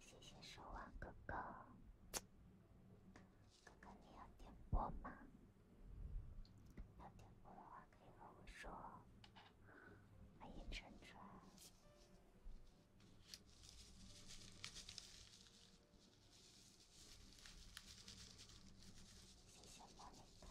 谢谢守望哥哥，哥哥你要点播吗？要点播的话可以和我说。欢迎晨晨，谢谢莫妮卡。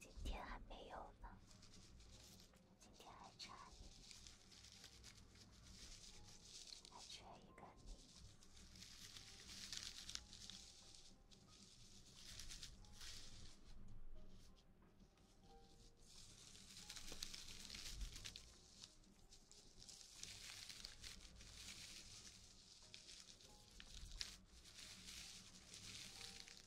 今天还没有呢，今天还差，还缺一个你。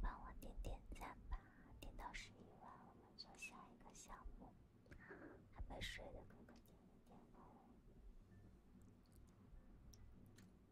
帮我点点赞吧，点到十一万，我们做下一个项目。还没睡的哥哥点点赞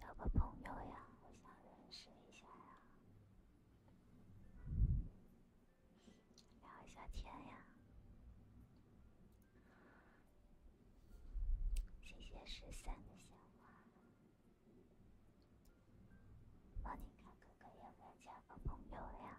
交个朋友呀，我想认识一下呀。聊一下天呀！谢谢十三的鲜花。帮你看哥哥要不要加个朋友呀？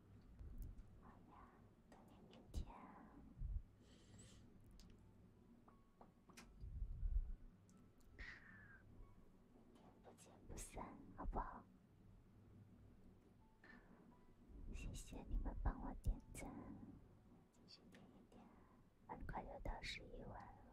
好呀，咱们明天不见不散，好不好？谢谢你们帮我点赞，继续点一点，很快就到十一万了。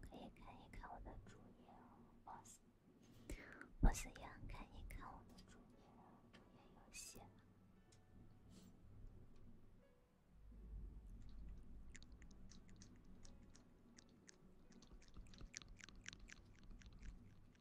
可以可以看我的主页哦，boss，boss 样，可以看我的主页，主页游戏。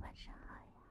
晚上好呀。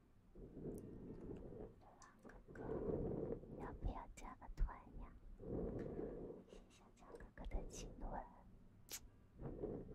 小强哥哥，要不要加个团呀？谢谢小强哥哥的青团，谢谢入团。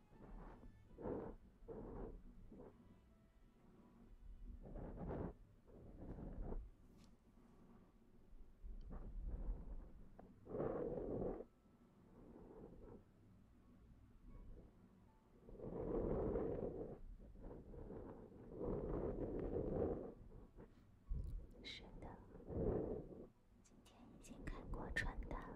是的。今天已经看过传单了。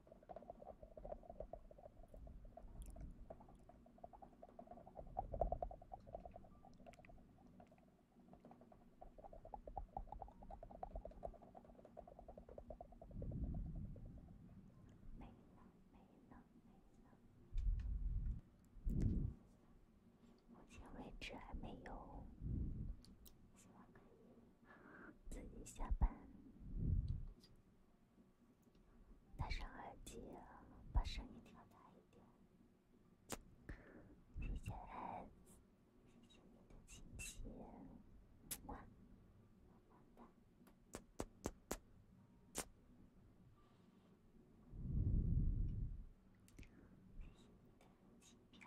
可呢，可呢，可呢。目前为止还没有。自己下班。戴上耳机，把声音调大一点。谢谢，谢谢你的气球。好的，谢你的气票。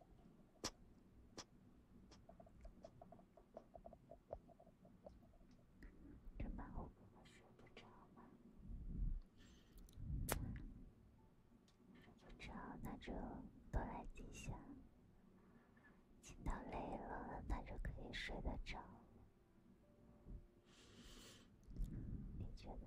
这晚我睡不着睡不着，那就多来几下，听到累了，那就可以睡得着。你觉得？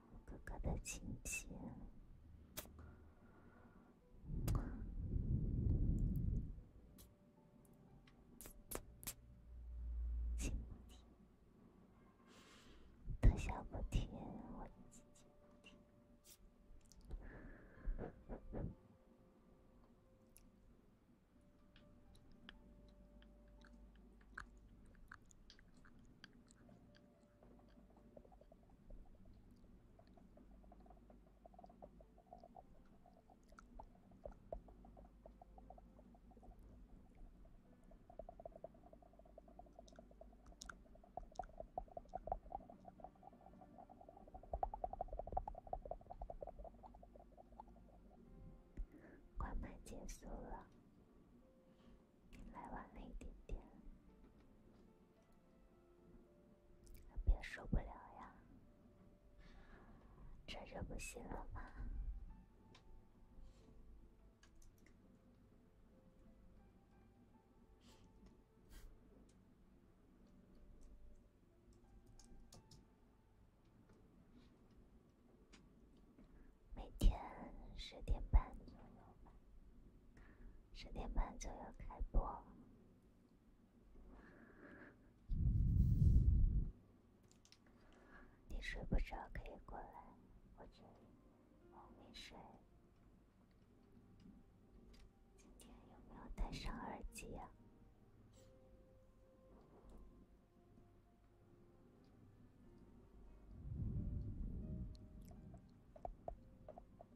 哥哥的亲节，快门结束了。来晚了一点点，别受不了呀，这就不行了吗？每天十点半左右吧。十点半左右开播，你睡不着可以过来，我这里没睡。今天有没有带上耳机呀？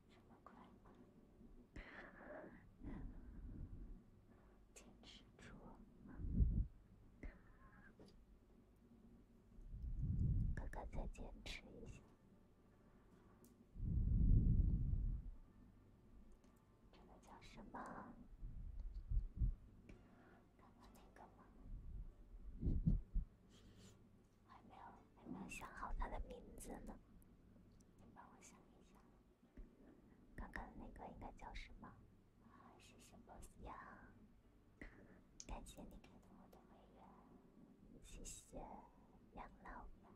这么快坚持住，哥哥，再坚持一下。这个叫什么？刚刚那个吗？还没有，还没有想好他的名字呢。你帮我想一想，刚刚那个应该叫什么？啊，谢谢 boss 呀，感谢你开通我的会员，谢谢养老版。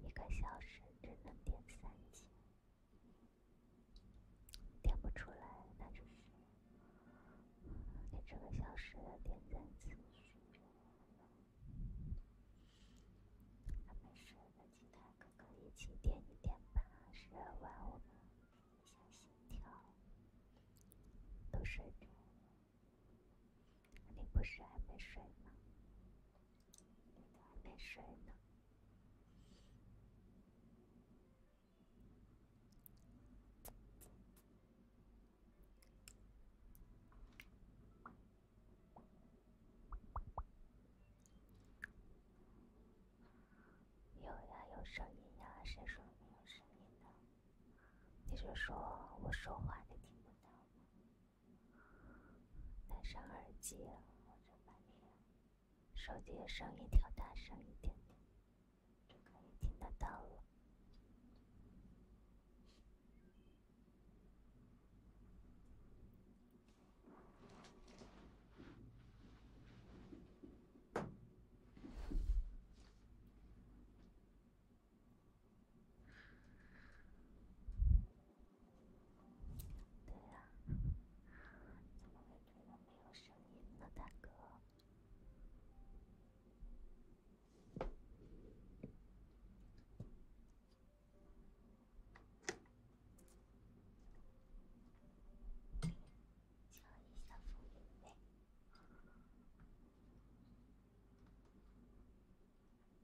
一个小时只能点三千，点不出来，那就是这个小时的点赞次数。还没睡的其他哥哥一起点一点吧，十二万我们一下心跳都睡着。你不是还没睡吗？你还没睡呢？有呀，有声音呀，谁说没有声音呢？你是说我说话你听不到吗？戴上耳机或者把你手机的声音调大声一点点，就可以听得到了。对呀，怎么会突然没有声音呢，大哥？调一下氛围呗。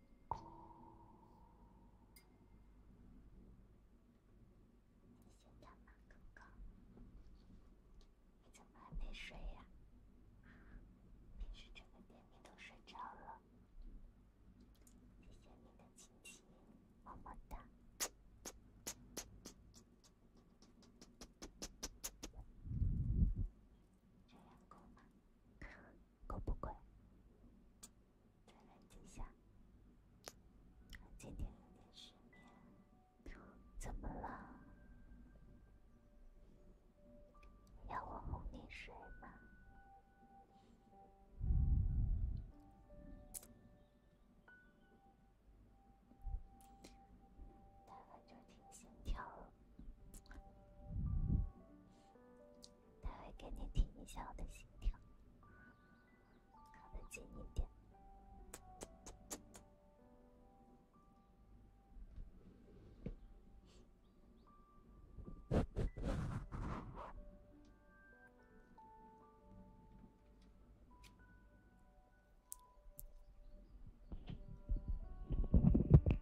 小马哥哥，你怎么还没睡呀？平时这个点你都睡着了。谢谢你的亲亲，么么哒。这样够吗？够不贵，再来几下。今天有点失眠，怎么了？要我哄你睡吗？大概就听心跳他会给你听一下我的心跳，靠得近一点。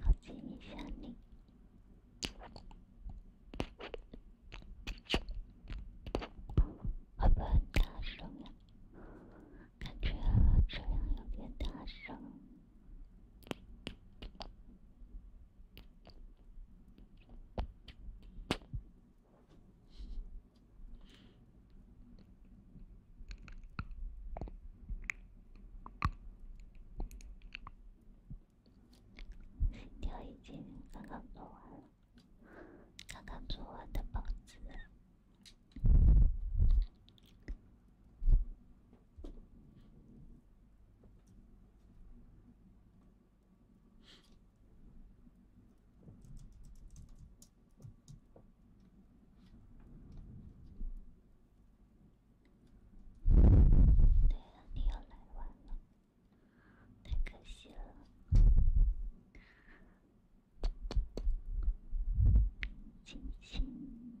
靠近一下你，会不会大声呀？感觉这样有点大声。心跳已经刚刚做完了，刚刚做完的包子。对，你又来晚了，太可惜了，亲亲。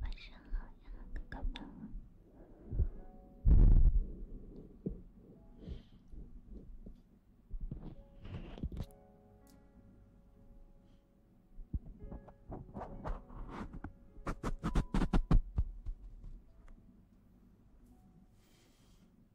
晚上好呀，哥哥们。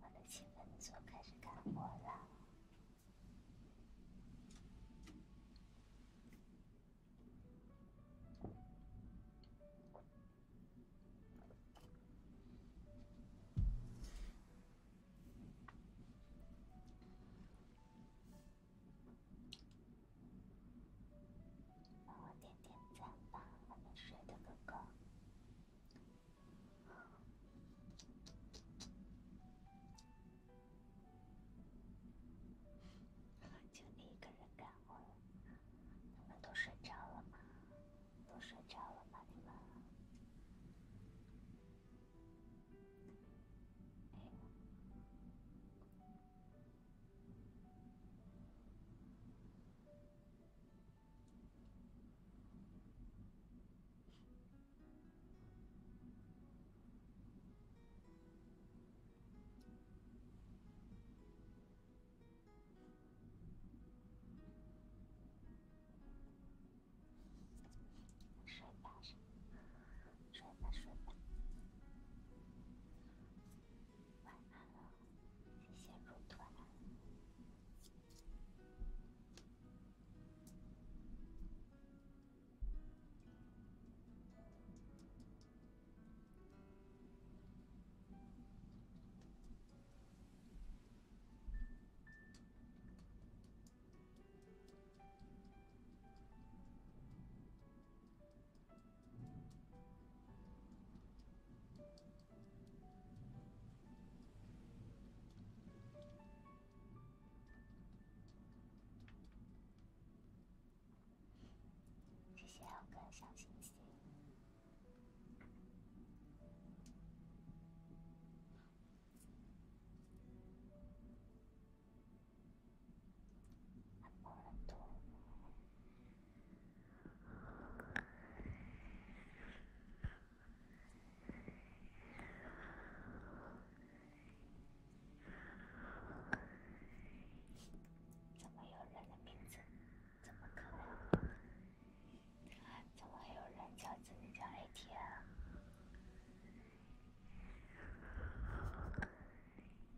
我的勤奋的开始干活了。帮我点点赞吧，还没睡的哥哥。就你一个人敢回？你们都睡着了吗？都睡着了吗？你们？哎。睡吧，睡吧，睡吧，睡吧。晚安了，谢谢入团。谢谢有个小星星，拜拜了，怎么有人的名字这么可爱？怎么还有人叫自己叫 ATN？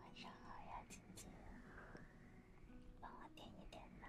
晚上好呀，静静，帮我点一点灯。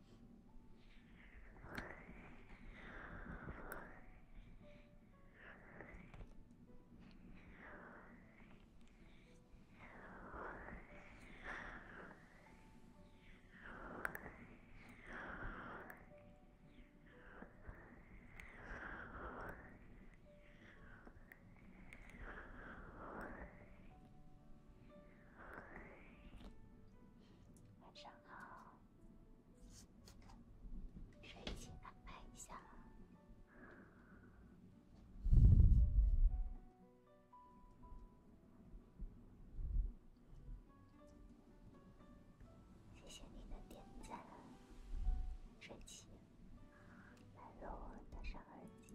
晚上好。帅气，安排一下。谢谢你的点赞，帅气。来喽，戴上耳机。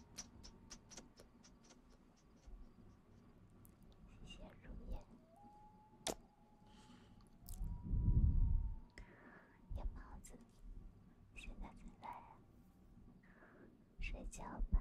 谢谢入夜，夜猫子，现在才来，睡觉吧。